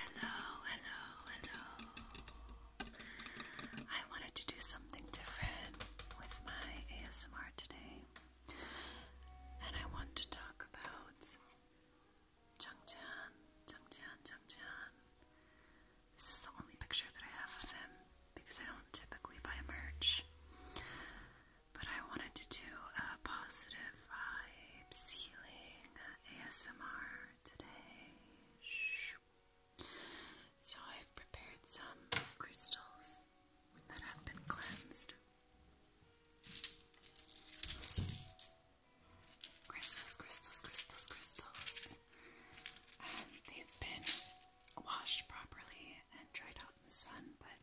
Hello, hello, hello. I wanted to do something different with my ASMR today. And I want to talk about Changchan, Changchan, Changchan. This is the only picture that I have of him because I don't typically buy merch. But I wanted to do a positive vibes, healing, ASMR today. So I've prepared some crystals that have been cleansed. Crystals, crystals, crystals, crystals. And they've been washed properly and dried out in the sun, but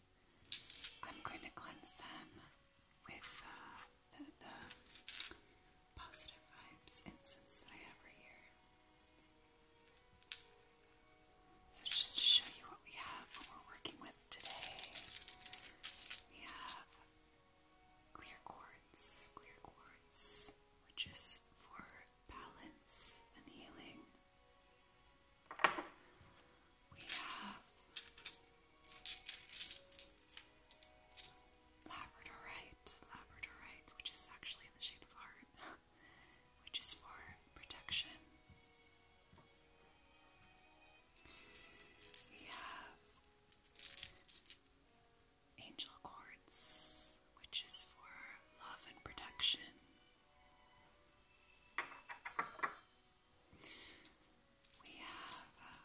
I'm going to cleanse them with uh, the positive vibes incense that I have right here. So, just to show you what we have, what we're working with today, we have clear quartz, clear quartz, which is for balance and healing we have labradorite, labradorite, which is actually in the shape of heart, which is for protection. We have angel quartz, which is for love and protection. We have uh,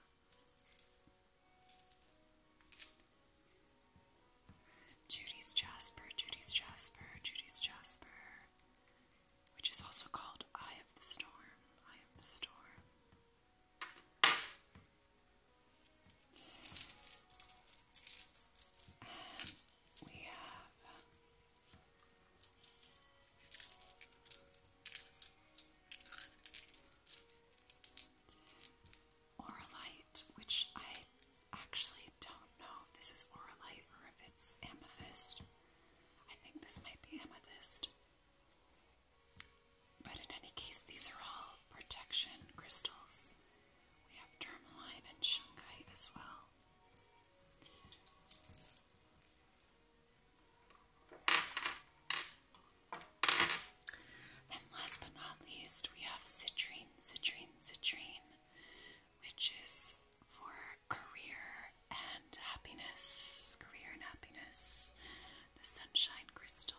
Judy's Jasper, Judy's Jasper, Judy's Jasper, which is also called Eye of the Storm, Eye of the Storm. we have Oralite, which I actually don't know if this is oralite or if it's amethyst. I think this might be amethyst. But in any case, these are all protection crystals. We have tourmaline and shungite as well. Then last but not least, we have citrine, citrine, citrine, which is for career and happiness, career and happiness, the sunshine crystal.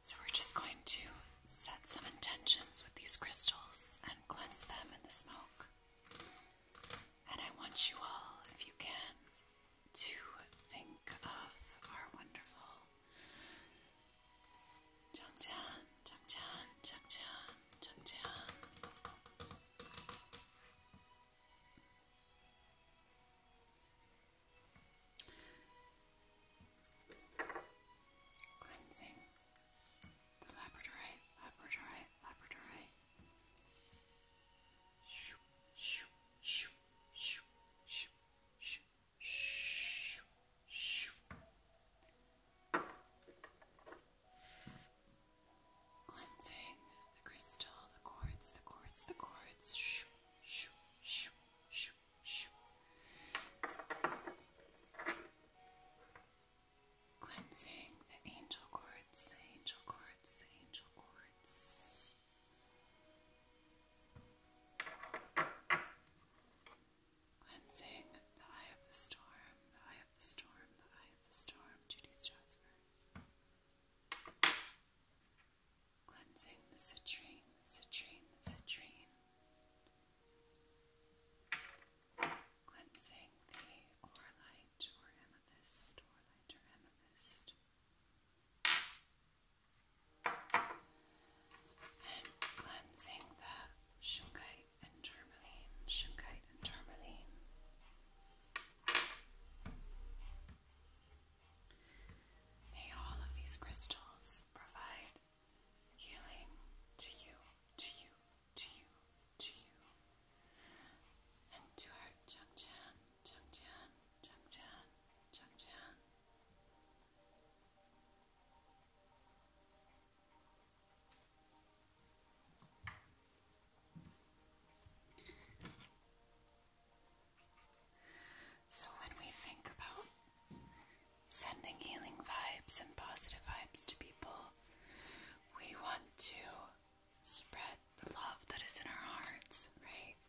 So we're just going to set some intentions with these crystals and cleanse them in the smoke. And I want you all, if you can, to think of our wonderful Changchan, Changchan, Changchan, Changchan. Cleansing the labradorite, labradorite, labradorite. Shoo, shoo, shoo, shoo, shoo, shoo, shoo, shoo. Cleansing the crystal, the quartz, the quartz, the quartz. Shoo, shoo, shoo, shoo, shoo. Cleansing the angel cords, the angel cords, the angel cords. Cleansing the eye of the storm, the eye of the storm, the eye of the storm, Judy Strasberg. Cleansing the citrine, the citrine, the citrine. Cleansing the orlite or amethyst, orlite or amethyst. And cleansing the shungite and tourmaline, shungite and tourmaline. May all of these crystals provide healing to you, to you, to you, to you, and to our Changtian, Changtian, Changtian, Changtian. So, when we think about sending healing vibes and positive vibes to people. We want to spread the love that is in our hearts, right?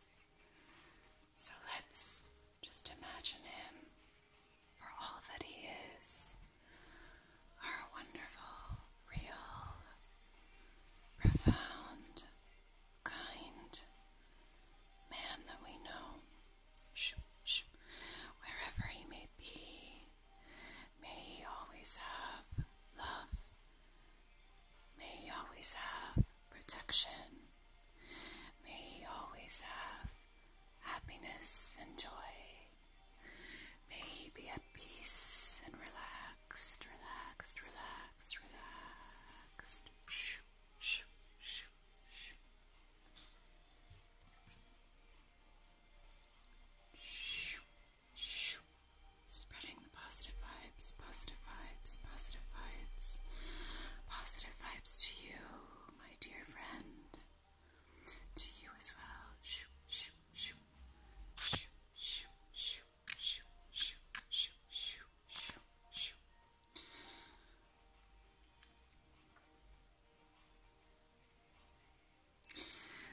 So let's just imagine him for all that he is our wonderful, real, profound, kind man that we know wherever he may be. May he always have love. May he always have protection. May he always have happiness and joy. May he be at peace and relaxed, relaxed, relaxed, relaxed. Spreading the positive vibes, positive vibes, positive vibes, positive vibes to you, my dear friend. To you as well. Shoo, shoo, shoo. Shoo, shoo, shoo, shoo, shoo, shoo, shoo, shoo, shoo,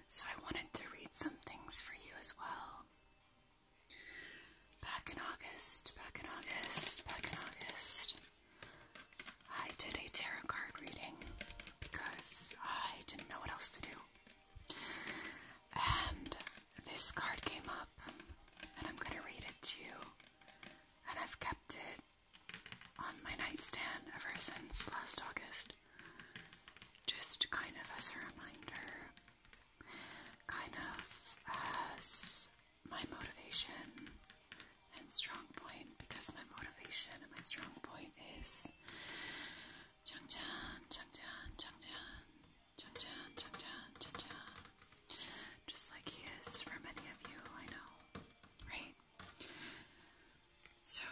so, I wanted to read some things for you as well. Back in August, back in August, back in August, I did a tarot card reading because I didn't know what else to do. And this card came up, and I'm going to read it to you. And I've kept it on my nightstand ever since last August. Just kind of as a reminder, kind of as my motivation and strong point, because my motivation and my strong point is just like he is for many of you, I know, right? So,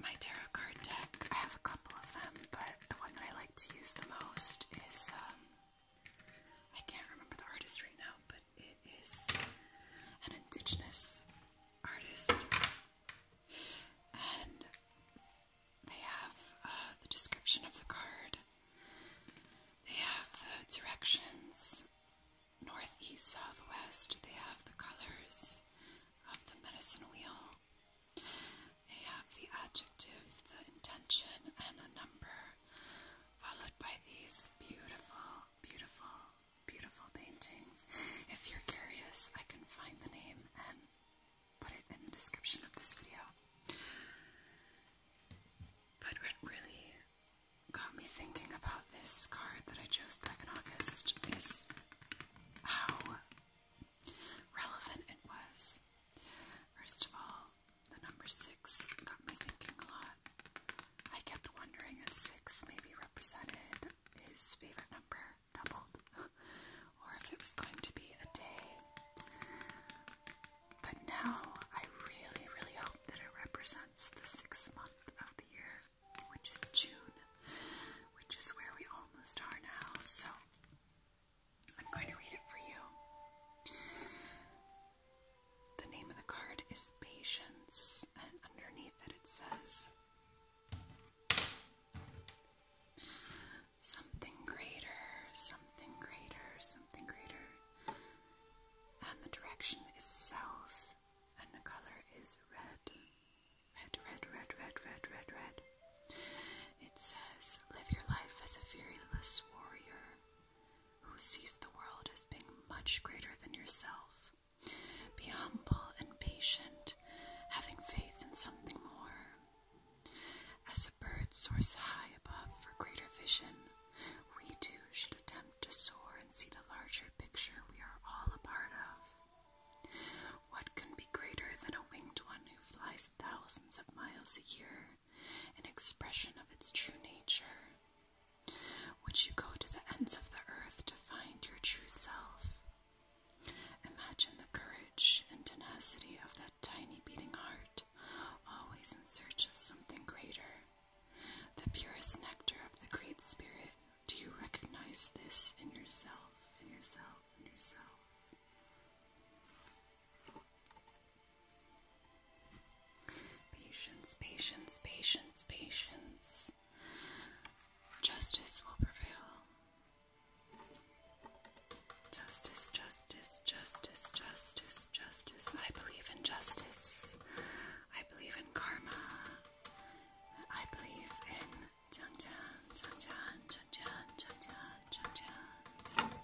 my tarot card deck, I have a couple of them, but the one that I like to use the most is, um, I can't remember the artist right now, but it is an indigenous artist. And they have uh, the description of the card they have the directions north, east, south, west. They have the colors of the medicine wheel. They have the adjective, the intention, and a number, followed by these beautiful, beautiful, beautiful paintings. If you're curious, I can find the name and put it in the description of this video. But what really got me thinking about this card that I chose back in August is how relevant it was. First of all, the number six got me thinking a lot. I kept wondering if six maybe represented his favorite number doubled, or if it was going to be a day but now I really, really hope that it represents the sixth month of the year, which is June, which is where we almost are now. So I'm going to read it for you. The name of the card is Patience, and underneath it, it says, Something greater, something greater, something greater and the direction is south, and the color is red. Red, red, red, red, red, red, It says, Live your life as a fearless warrior who sees the world as being much greater than yourself. Be humble and patient, having faith in something more. Birds soar high above for greater vision, we too should attempt to soar and see the larger picture we are all a part of. What can be greater than a winged one who flies thousands of miles a year, an expression of its true nature? Would you go to the ends of the earth to find your true self? Imagine the courage and tenacity of that tiny beating heart, always in search of something greater. The purest nectar of the Great Spirit. Do you recognize this in yourself, in yourself, in yourself? Patience, patience, patience, patience. Justice will prevail. Justice, justice, justice, justice, justice. I believe in justice. I believe in karma. I believe in Chan Chan, Chan Chan, Chan Chan, Chan Chan,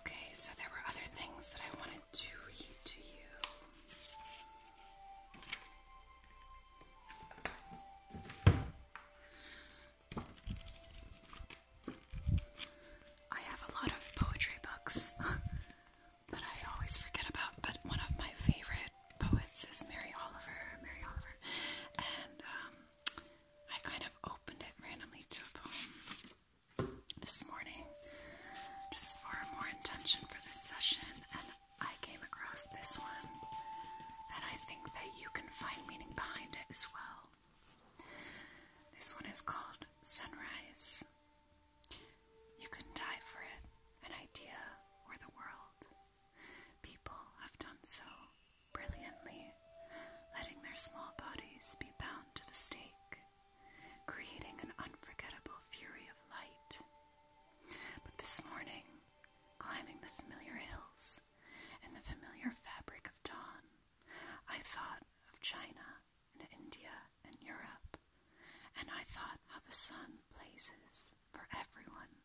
Okay, so there were other things that I wanted to read to you. I have a lot of poetry books that I always forget about, but one of my favorite poets is Mary Oliver. Mary Oliver. And um, I kind of opened it randomly to a poem this morning just for more intention for this session, and I came across this one, and I think that you can find meaning behind it as well. This one is called Sunrise. You can die for it, an idea, or the world. People have done so brilliantly, letting their small bodies be bound to the stake creating an unforgettable fury of light. But this morning, climbing the familiar hills in the familiar fabric of dawn, I thought of China and India and Europe, and I thought how the sun blazes for everyone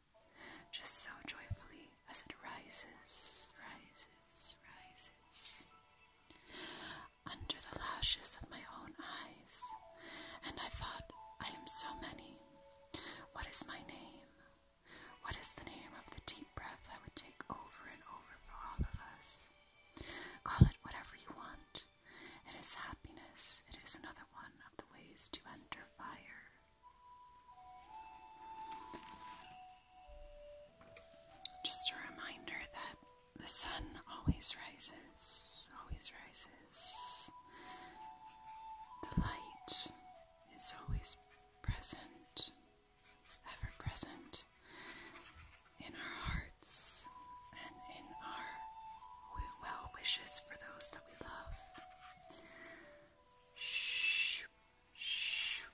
just so joyfully as it rises, rises, rises under the lashes of my own eyes, and I thought, I am so many. What is my name? What is the name of the deep breath I would take over and over for all of us? Call it whatever you want. It is happiness, it is another one of the ways to enter fire. Just a reminder that the sun always rises, always rises. The light is always present, it's ever present in our hearts and in our well wishes for those that we love. Shoo, shoo,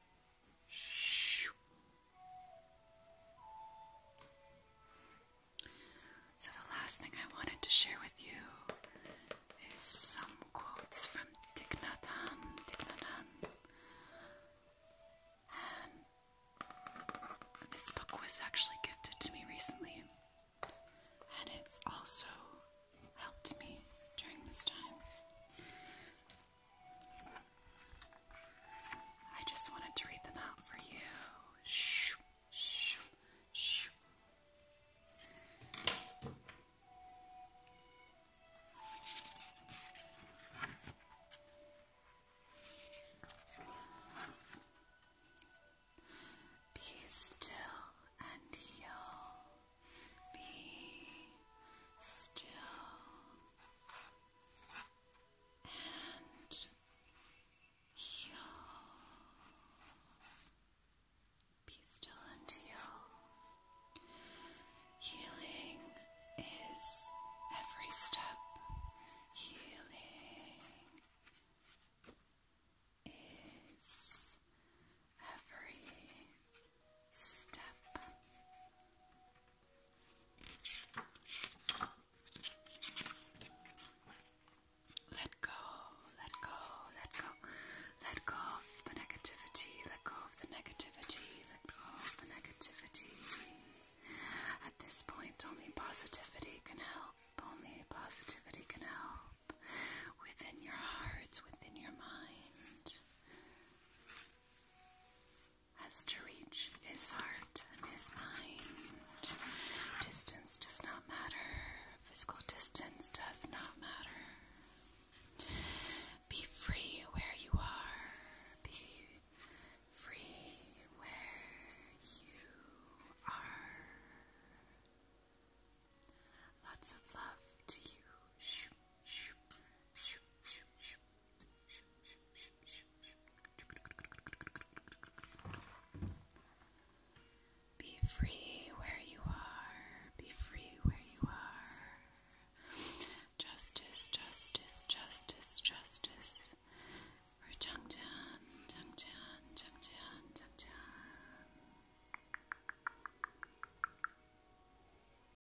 so, the last thing I wanted to share with you is some quotes from Thich Nhat this book was actually gifted to me recently, and it's also helped me during this time. I just wanted to read them out for you. Shoo, shoo, shoo. Be still and heal. Be still and you be still and heal. Healing is every step. Healing is every step. Let go, let go, let go, let go of the negativity, let go of the negativity, let go of the negativity. At this point, only positivity can help, only positivity can help within your hearts, within your mind as to reach his heart and his mind. Distance does not matter, physical distance does not matter. Be free where you are, be free where you are. Lots of love to you. Be free where you are, be free where you are. Justice, justice, justice, justice. For Tung Tan, Tung